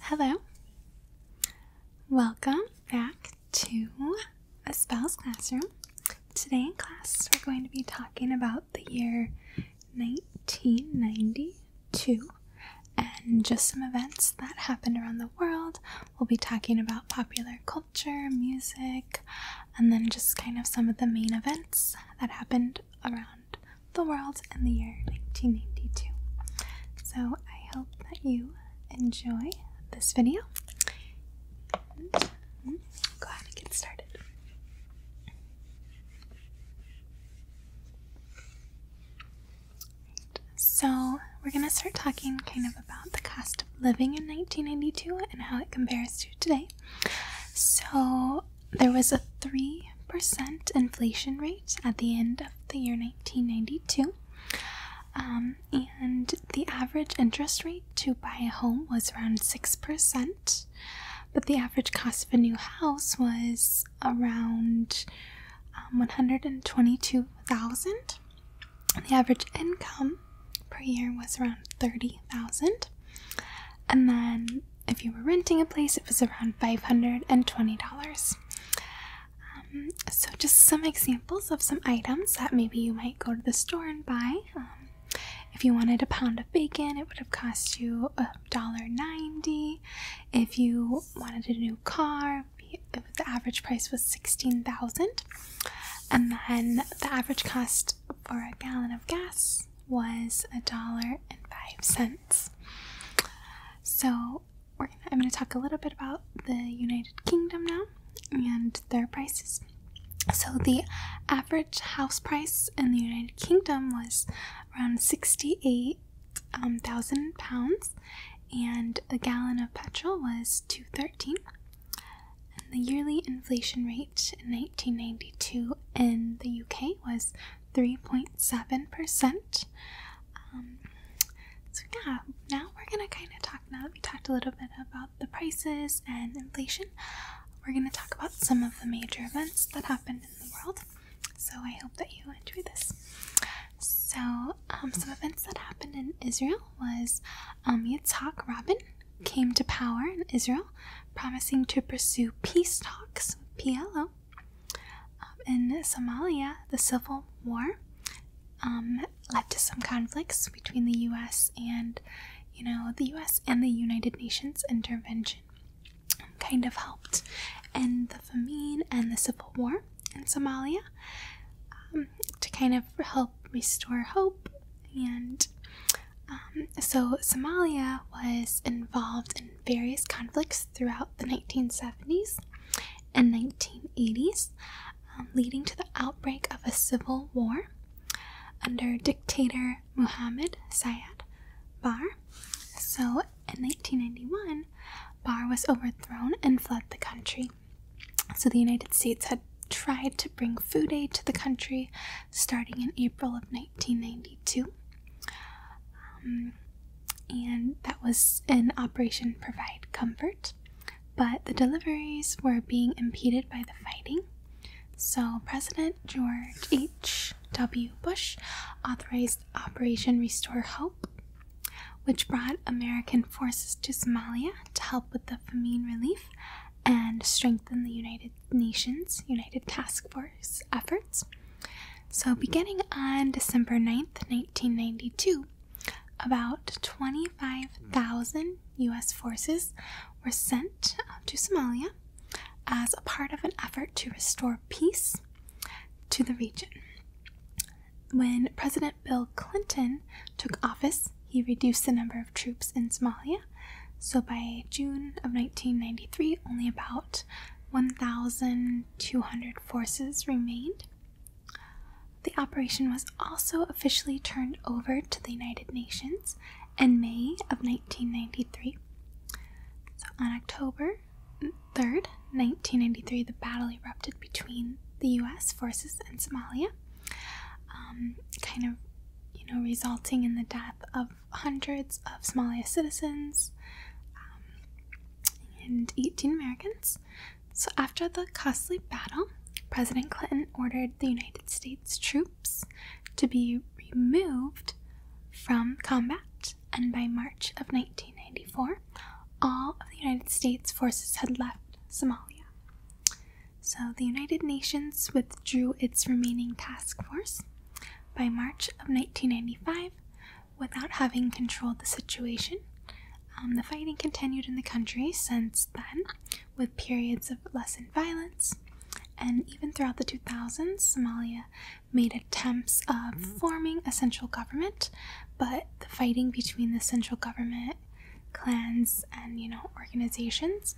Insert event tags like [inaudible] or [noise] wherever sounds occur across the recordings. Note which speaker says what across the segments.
Speaker 1: Hello. Welcome back to a spell's classroom. Today in class, we're going to be talking about the year 1992 and just some events that happened around the world. We'll be talking about popular culture, music, and then just kind of some of the main events that happened around the world in the year 1992. So I hope that you enjoy this video. Mm, go ahead and get started. So, we're going to start talking kind of about the cost of living in 1992 and how it compares to today. So, there was a 3% inflation rate at the end of the year 1992. Um, and the average interest rate to buy a home was around 6%, but the average cost of a new house was around um, 122000 The average income per year was around 30000 And then if you were renting a place, it was around $520. Um, so, just some examples of some items that maybe you might go to the store and buy. Um, if you wanted a pound of bacon, it would have cost you $1.90. If you wanted a new car, the average price was 16000 And then the average cost for a gallon of gas was $1.05. So I'm going to talk a little bit about the United Kingdom now and their prices. So the average house price in the United Kingdom was around sixty-eight um, thousand pounds, and a gallon of petrol was two thirteen. And the yearly inflation rate in nineteen ninety-two in the UK was three point seven percent, um, so yeah, now we're gonna kind of talk. Now that we talked a little bit about the prices and inflation, we're gonna talk about some of the major events that happened in the world. So I hope that you enjoy this. So um, some events that happened in Israel was um, Yitzhak Rabin came to power in Israel, promising to pursue peace talks with PLO um, in Somalia, the civil war um, led to some conflicts between the U.S. and, you know, the U.S. and the United Nations intervention um, kind of helped end the famine and the civil war in Somalia to kind of help restore hope and so Somalia was involved in various conflicts throughout the 1970s and 1980s, um, leading to the outbreak of a civil war under dictator Muhammad Sayed Bar. So, in 1991, Bar was overthrown and fled the country. So, the United States had tried to bring food aid to the country starting in April of 1992. Um, and that was an operation provide comfort, but the deliveries were being impeded by the fighting. So, President George H.W. Bush authorized Operation Restore Hope, which brought American forces to Somalia to help with the famine relief and strengthen the United Nations United Task Force efforts. So, beginning on December 9th, 1992, about 25,000 U.S. forces were sent to Somalia as a part of an effort to restore peace to the region. When President Bill Clinton took office, he reduced the number of troops in Somalia. So by June of 1993, only about 1,200 forces remained. The operation was also officially turned over to the United Nations in May of 1993. So on October 3rd, 1993, the battle erupted between the U.S. forces and Somalia, um, kind of, you know, resulting in the death of hundreds of Somali citizens. Um, and 18 Americans. So, after the costly battle, President Clinton ordered the United States troops to be removed from combat, and by March of 1994, all of the United States forces had left Somalia. So, the United Nations withdrew its remaining task force. By March of 1995, without having controlled the situation. Um, the fighting continued in the country since then, with periods of lessened violence, and even throughout the 2000s, Somalia made attempts of mm-hmm. forming a central government, but the fighting between the central government, clans, and you know organizations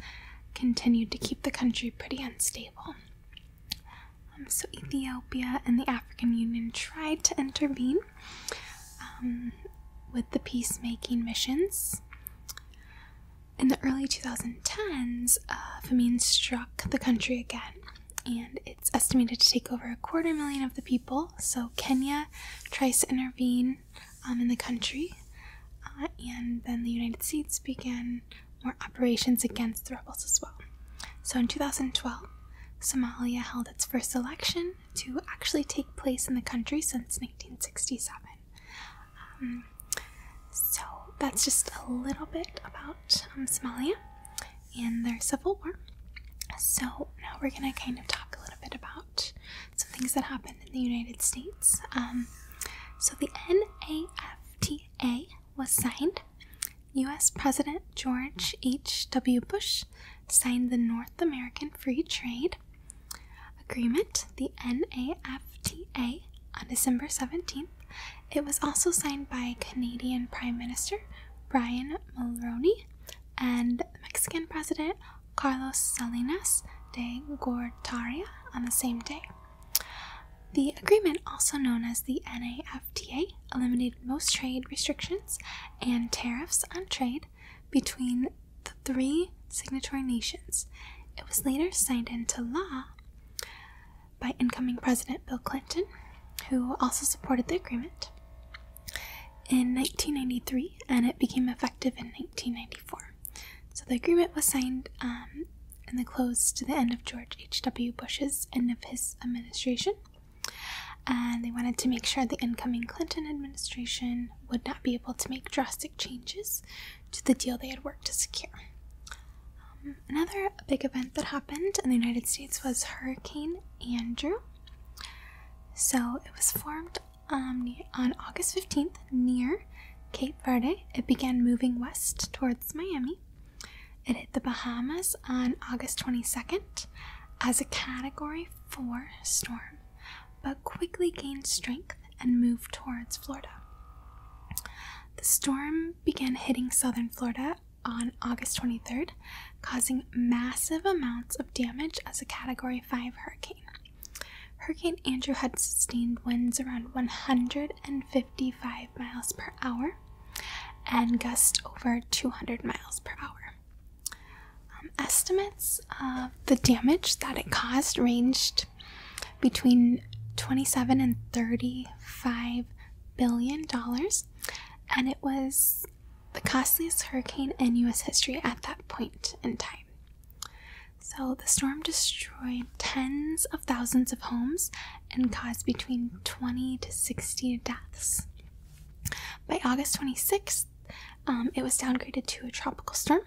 Speaker 1: continued to keep the country pretty unstable. Um, so Ethiopia and the African Union tried to intervene um, with the peacemaking missions. In the early 2010s, uh, famine struck the country again, and it's estimated to take over a quarter million of the people. So Kenya tries to intervene um, in the country, uh, and then the United States began more operations against the rebels as well. So in 2012, Somalia held its first election to actually take place in the country since 1967. Um, so that's just a little bit about um, Somalia and their civil war. So now we're going to kind of talk a little bit about some things that happened in the United States. Um, so the NAFTA was signed U.S. President George H.W. Bush signed the North American Free Trade Agreement, the NAFTA, on December 17th. It was also signed by Canadian Prime Minister Brian Mulroney and Mexican President Carlos Salinas de Gortari on the same day. The agreement, also known as the NAFTA, USFTA eliminated most trade restrictions and tariffs on trade between the three signatory nations. It was later signed into law by incoming President Bill Clinton, who also supported the agreement. In 1993, and it became effective in 1994. So the agreement was signed um, and in closed to the end of George H.W. Bush's end of his administration, and they wanted to make sure the incoming Clinton administration would not be able to make drastic changes to the deal they had worked to secure. Um, another big event that happened in the United States was Hurricane Andrew. So it was formed um, on August 15th near Cape Verde. It began moving west towards Miami. It hit the Bahamas on August 22nd as a Category 4 storm, but quickly gained strength and moved towards Florida. The storm began hitting southern Florida on August 23rd, causing massive amounts of damage as a Category 5 hurricane. Hurricane Andrew had sustained winds around 155 miles per hour and gusts over 200 miles per hour. Um, estimates of the damage that it caused ranged between 27 and 35 billion dollars, and it was the costliest hurricane in U.S. history at that point in time. So the storm destroyed tens of thousands of homes and caused between 20 to 60 deaths. By August 26th, um, it was downgraded to a tropical storm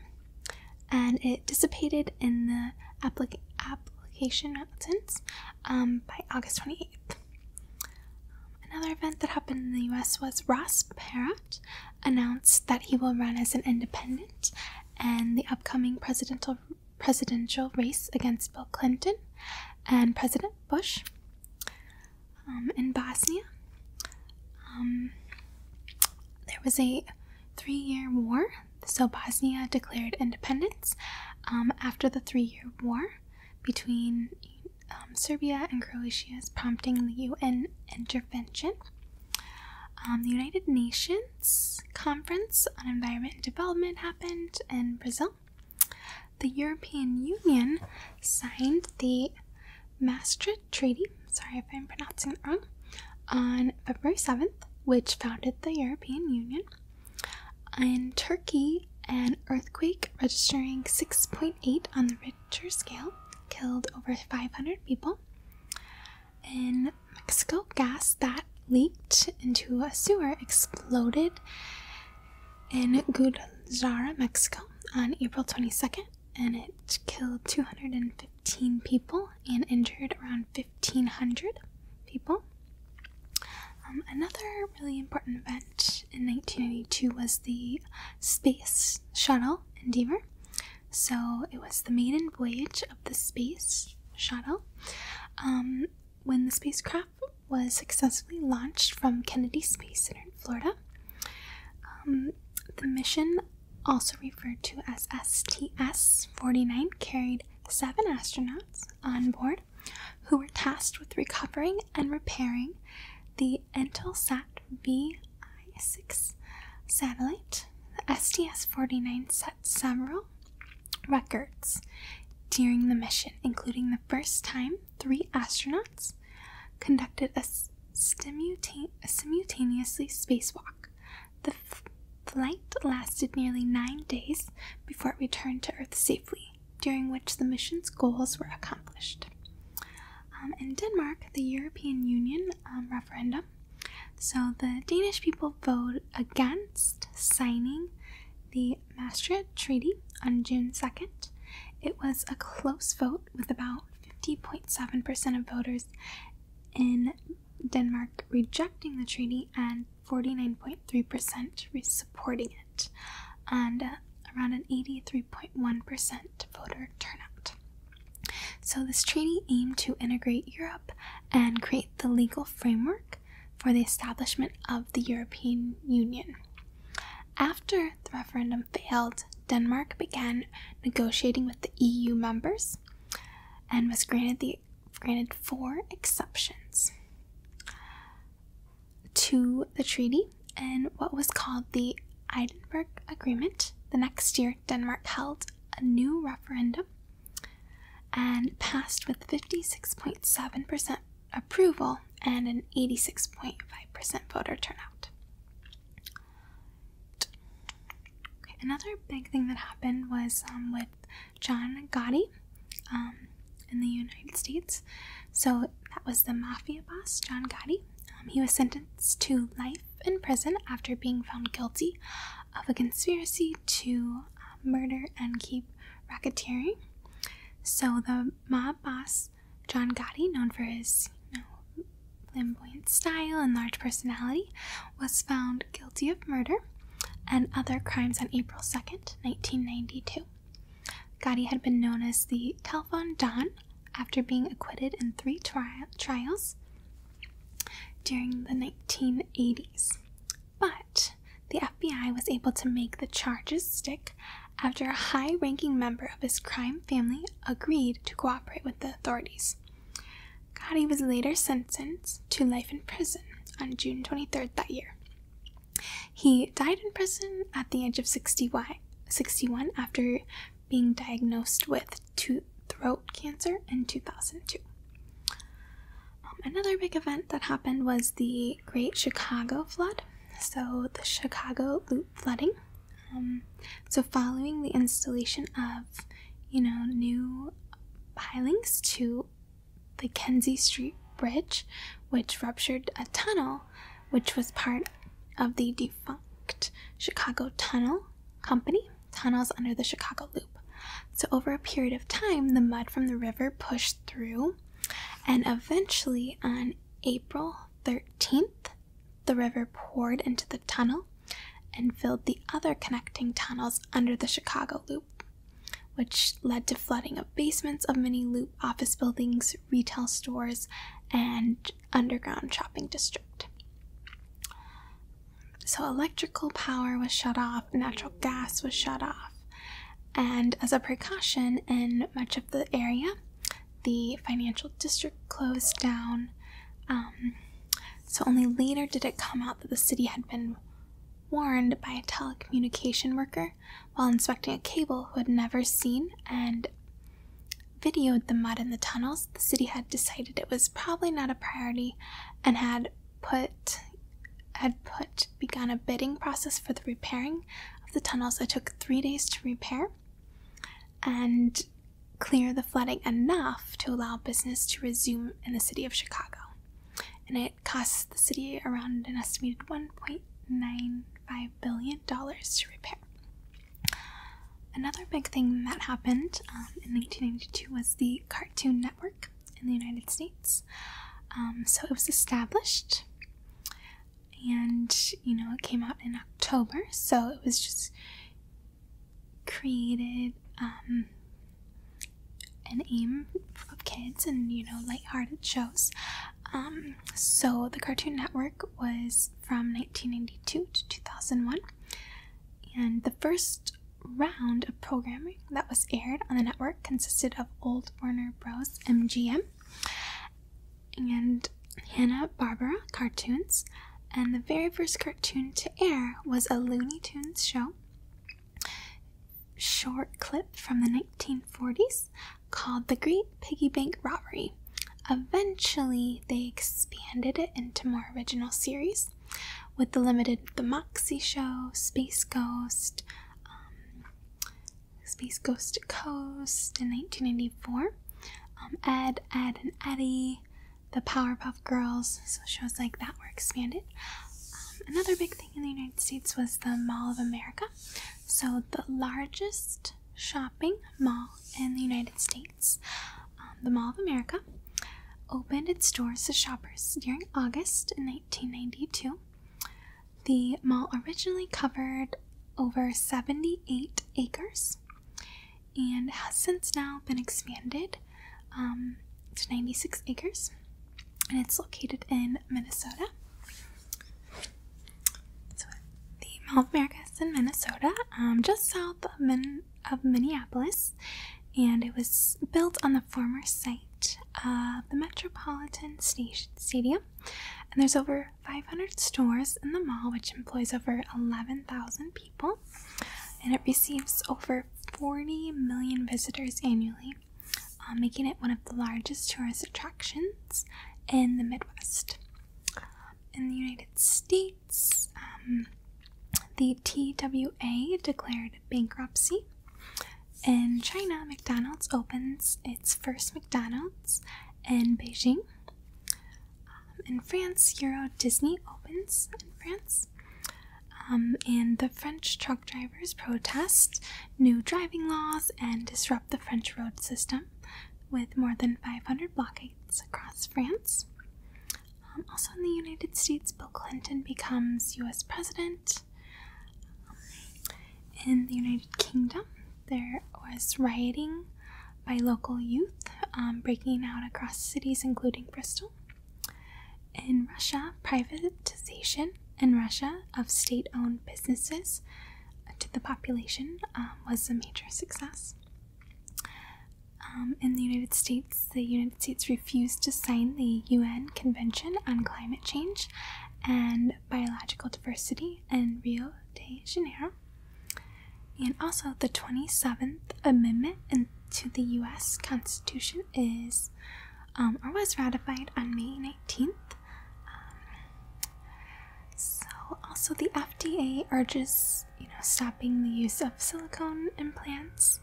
Speaker 1: and it dissipated in the applic application mountains um, by August 28th. another event that happened in the US was Ross Perot announced that he will run as an independent in the upcoming presidential presidential race against Bill Clinton and President Bush. Um, in Bosnia. Um, there was a three year war, so Bosnia declared independence um, after the three year war between Serbia and Croatia, prompting the UN intervention. the United Nations Conference on Environment and Development happened in Brazil the European Union signed the Maastricht Treaty, sorry if I'm pronouncing it wrong, on February 7th, which founded the European Union. In Turkey, an earthquake registering 6.8 on the Richter scale killed over 500 people. In Mexico, gas that leaked into a sewer exploded in Guadalajara, Mexico on April 22nd, and it killed 215 people and injured around 1,500 people. Um, another really important event in nineteen eighty-two was the Space Shuttle Endeavour. So it was the maiden voyage of the Space Shuttle. Um, when the spacecraft was successfully launched from Kennedy Space Center in Florida. Um, the mission, also referred to as STS 49, carried seven astronauts on board who were tasked with recovering and repairing the Intelsat VI 6 satellite. The STS 49 set several records during the mission, including the first time three astronauts conducted a, simultane simultaneously spacewalk. The flight lasted nearly nine days before it returned to Earth safely, during which the mission's goals were accomplished. Um, in Denmark, the European Union um, referendum, so the Danish people vote against signing the Maastricht Treaty on June 2nd. It was a close vote with about 50.7% of voters in Denmark rejecting the treaty and 49.3% supporting it, and uh, around an 83.1% voter turnout. So, this treaty aimed to integrate Europe and create the legal framework for the establishment of the European Union. After the referendum failed, Denmark began negotiating with the EU members and was granted the granted four exceptions to the treaty and what was called the Edinburgh Agreement. The next year, Denmark held a new referendum and passed with 56.7% approval and an 86.5% voter turnout. Okay, another big thing that happened was um, with John Gotti um, in the United States. So that was the mafia boss, John Gotti. Um, he was sentenced to life in prison after being found guilty of a conspiracy to uh, murder and keep racketeering. So the mob boss John Gotti, known for his flamboyant style and large personality, was found guilty of murder and other crimes on April 2nd, 1992. Gotti had been known as the Telephone Don after being acquitted in three trials during the 1980s. But the FBI was able to make the charges stick after a high ranking member of his crime family agreed to cooperate with the authorities. Gotti was later sentenced to life in prison on June 23rd that year. He died in prison at the age of 61 after being diagnosed with throat cancer in 2002. Um, another big event that happened was the Great Chicago Flood, so the Chicago Loop flooding. Um, so, following the installation of, you know, new pilings to the Kenzie Street Bridge, which ruptured a tunnel, which was part of the defunct Chicago Tunnel Company, tunnels under the Chicago Loop. So, over a period of time, the mud from the river pushed through, and eventually, on April 13th, the river poured into the tunnel and filled the other connecting tunnels under the Chicago Loop, which led to flooding of basements of many Loop office buildings, retail stores, and underground shopping district. So, electrical power was shut off, natural gas was shut off, and as a precaution in much of the area, the financial district closed down. Um, so only later did it come out that the city had been warned by a telecommunication worker while inspecting a cable who had never seen and videoed the mud in the tunnels. The city had decided it was probably not a priority and had put had put begun a bidding process for the repairing of the tunnels that took three days to repair and clear the flooding enough to allow business to resume in the city of Chicago. And it costs the city around an estimated $1.95 billion to repair. Another big thing that happened um, in 1992 was the Cartoon Network in the United States. Um, so it was established and you know it came out in October, so it was just created um, an aim for kids and you know lighthearted shows. Um, so the Cartoon Network was from 1992 to 2001, and the first round of programming that was aired on the network consisted of Old Warner Bros. MGM and Hanna Barbera cartoons, and the very first cartoon to air was a Looney Tunes show, short clip from the 1940s called The Great Piggy Bank Robbery. Eventually, they expanded it into more original series with the limited The Moxie Show, Space Ghost, um, Space Ghost to Coast in 1994. Um, Ed, Ed, and Eddie, the Powerpuff Girls, so shows like that were expanded. Um, another big thing in the United States was the Mall of America. So, the largest shopping mall in the United States, um, the Mall of America, opened its doors to shoppers during August in 1992. The mall originally covered over 78 acres and has since now been expanded um, to 96 acres, and it's located in Minnesota. the Mall of America is in Minnesota, um, just south of, Min of Minneapolis, and it was built on the former site of the Metropolitan Stadium. And there's over 500 stores in the mall, which employs over 11,000 people, and it receives over 40 million visitors annually, uh, making it one of the largest tourist attractions in the Midwest. In the United States, um, the TWA declared bankruptcy. In China, McDonald's opens its first McDonald's in Beijing um, in France, Euro Disney opens in France. Um, and the French truck drivers protest new driving laws and disrupt the French road system with more than 500 blockades across France. Um, also, in the United States, Bill Clinton becomes US president. In the United Kingdom, there was rioting by local youth um, breaking out across cities including Bristol. In Russia, privatization in Russia of state owned businesses to the population um, was a major success. Um, in the United States, the United States refused to sign the UN Convention on Climate Change and Biological Diversity in Rio de Janeiro and also, the 27th Amendment to the U.S. Constitution is um, or was ratified on May 19th. so, also, the FDA urges you know stopping the use of silicone implants.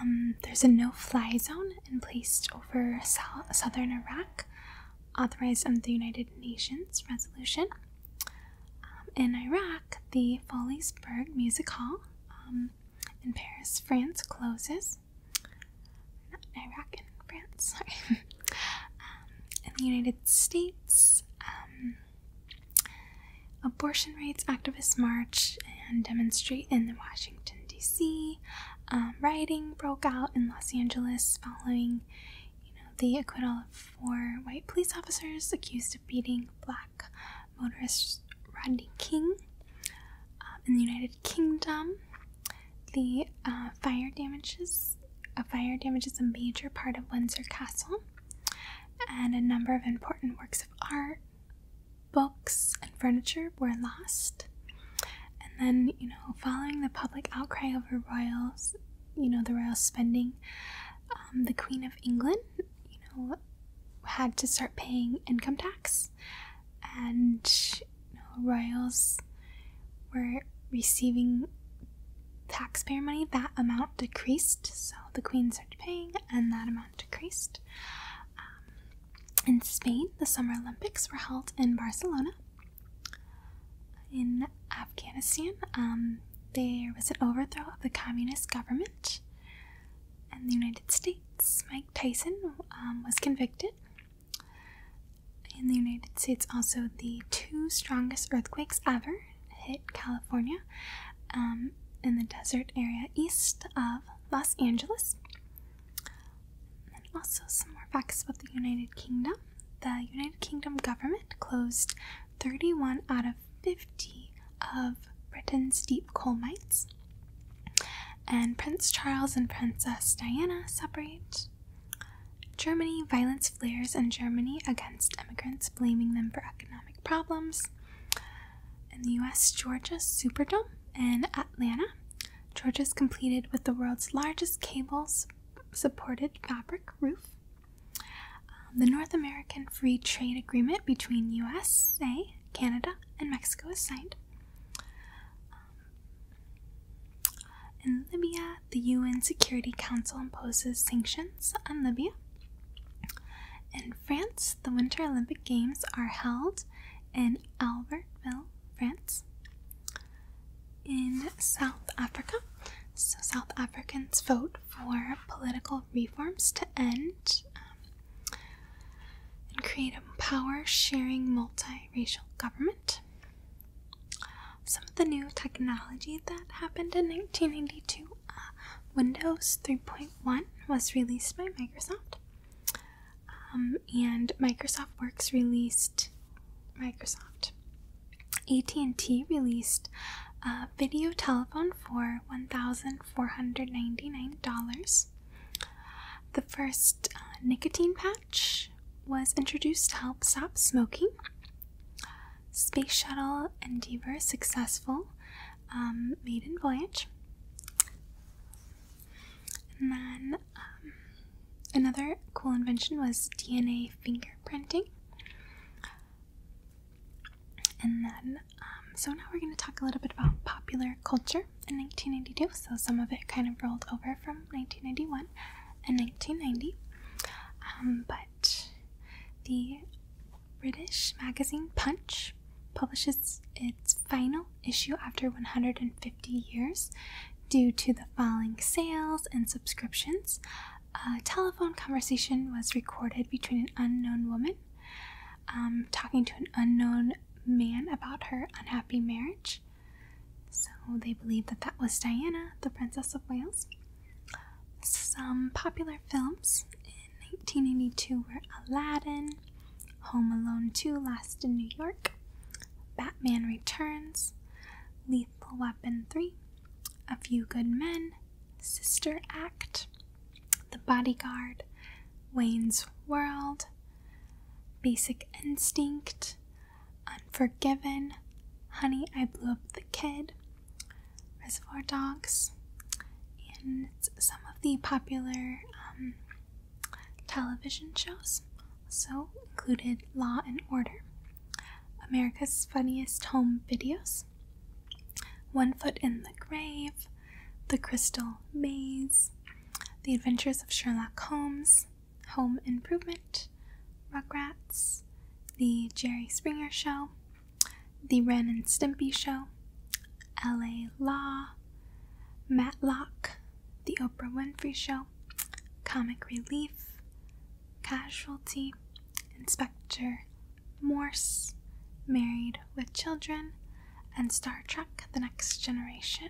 Speaker 1: Um, there's a no-fly zone in place over southern Iraq authorized under um, the United Nations resolution. Um, in Iraq, the Foliesberg Music Hall um, in Paris, France closes. Not in Iraq, in France, [laughs] sorry. in the United States, abortion rights activists march and demonstrate in Washington, D.C. rioting broke out in Los Angeles following you know, the acquittal of four white police officers accused of beating black motorist Rodney King um, in the United Kingdom. The uh, fire damages. A fire damages a major part of Windsor Castle, and a number of important works of art, books, and furniture were lost. And then, you know, following the public outcry over royals you know the royal spending um, the queen of england you know had to start paying income tax and you know, royals were receiving taxpayer money that amount decreased so the queen started paying and that amount decreased um, in spain the summer olympics were held in barcelona in Afghanistan, um, there was an overthrow of the communist government in the United States. Mike Tyson um, was convicted. In the United States, also the two strongest earthquakes ever hit California um, in the desert area east of Los Angeles. And also some more facts about the United Kingdom the United Kingdom government closed 31 out of 50 of Britain's deep coal mines. And Prince Charles and Princess Diana separate. Germany violence flares in Germany against immigrants, blaming them for economic problems. In the US, Georgia Superdome in Atlanta. Georgia's completed with the world's largest cables supported fabric roof. Um, the North American Free Trade Agreement between USA, Canada, and Mexico is signed. Um, in Libya, the UN Security Council imposes sanctions on Libya. In France, the Winter Olympic Games are held in Albertville, France in South Africa. So, South Africans vote for political reforms to end um, and create a power sharing multiracial government. Some of the new technology that happened in 1992 uh, Windows 3.1 was released by Microsoft, um, and Microsoft Works released Microsoft. AT&T released a video telephone for $1,499. The first uh, nicotine patch was introduced to help stop smoking. Space Shuttle Endeavour successful um, maiden voyage. And then um, another cool invention was DNA fingerprinting. And then, um, so now we're going to talk a little bit about popular culture in 1992. So some of it kind of rolled over from 1991 and 1990. Um, but the British magazine Punch publishes its final issue after 150 years due to the falling sales and subscriptions a telephone conversation was recorded between an unknown woman um, talking to an unknown man about her unhappy marriage. So they believe that that was Diana, the Princess of Wales. Some popular films in 1982 were Aladdin, Home Alone 2 Lost in New York, Batman Returns, Lethal Weapon 3, a Few Good Men, Sister Act, The Bodyguard, Wayne's World, Basic Instinct, Unforgiven, Honey, I Blew Up the Kid, Reservoir Dogs, and some of the popular um, television shows also included Law and Order. America's Funniest Home Videos, One Foot in the Grave, The Crystal Maze, The Adventures of Sherlock Holmes, Home Improvement, Rugrats, The Jerry Springer Show, The Ren and Stimpy Show, LA Law, Matlock, The Oprah Winfrey Show, Comic Relief, Casualty Inspector Morse, Married with Children, and Star Trek The Next Generation.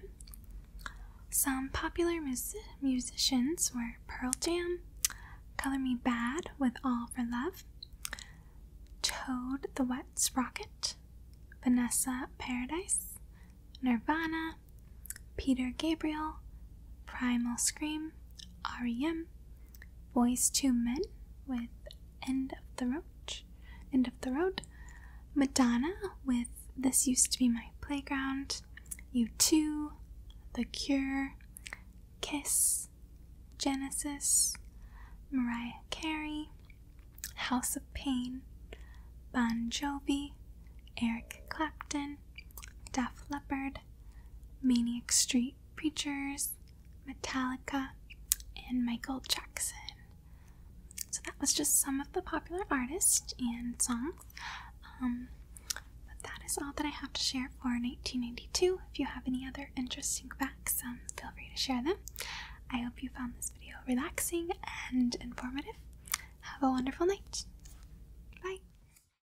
Speaker 1: Some popular musicians were Pearl Jam, Color Me Bad with All for Love, Toad the Wet Sprocket, Vanessa Paradise, Nirvana, Peter Gabriel, Primal Scream, REM, Boys Two Men with End of the Road, End of the Road, Madonna with This Used to Be My Playground, U2, The Cure, Kiss, Genesis, Mariah Carey, House of Pain, Bon Jovi, Eric Clapton. Deaf Leopard, Maniac Street Preachers, Metallica, and Michael Jackson. So that was just some of the popular artists and songs. Um, but that is all that I have to share for 1992. If you have any other interesting facts, um, feel free to share them. I hope you found this video relaxing and informative. Have a wonderful night. Bye.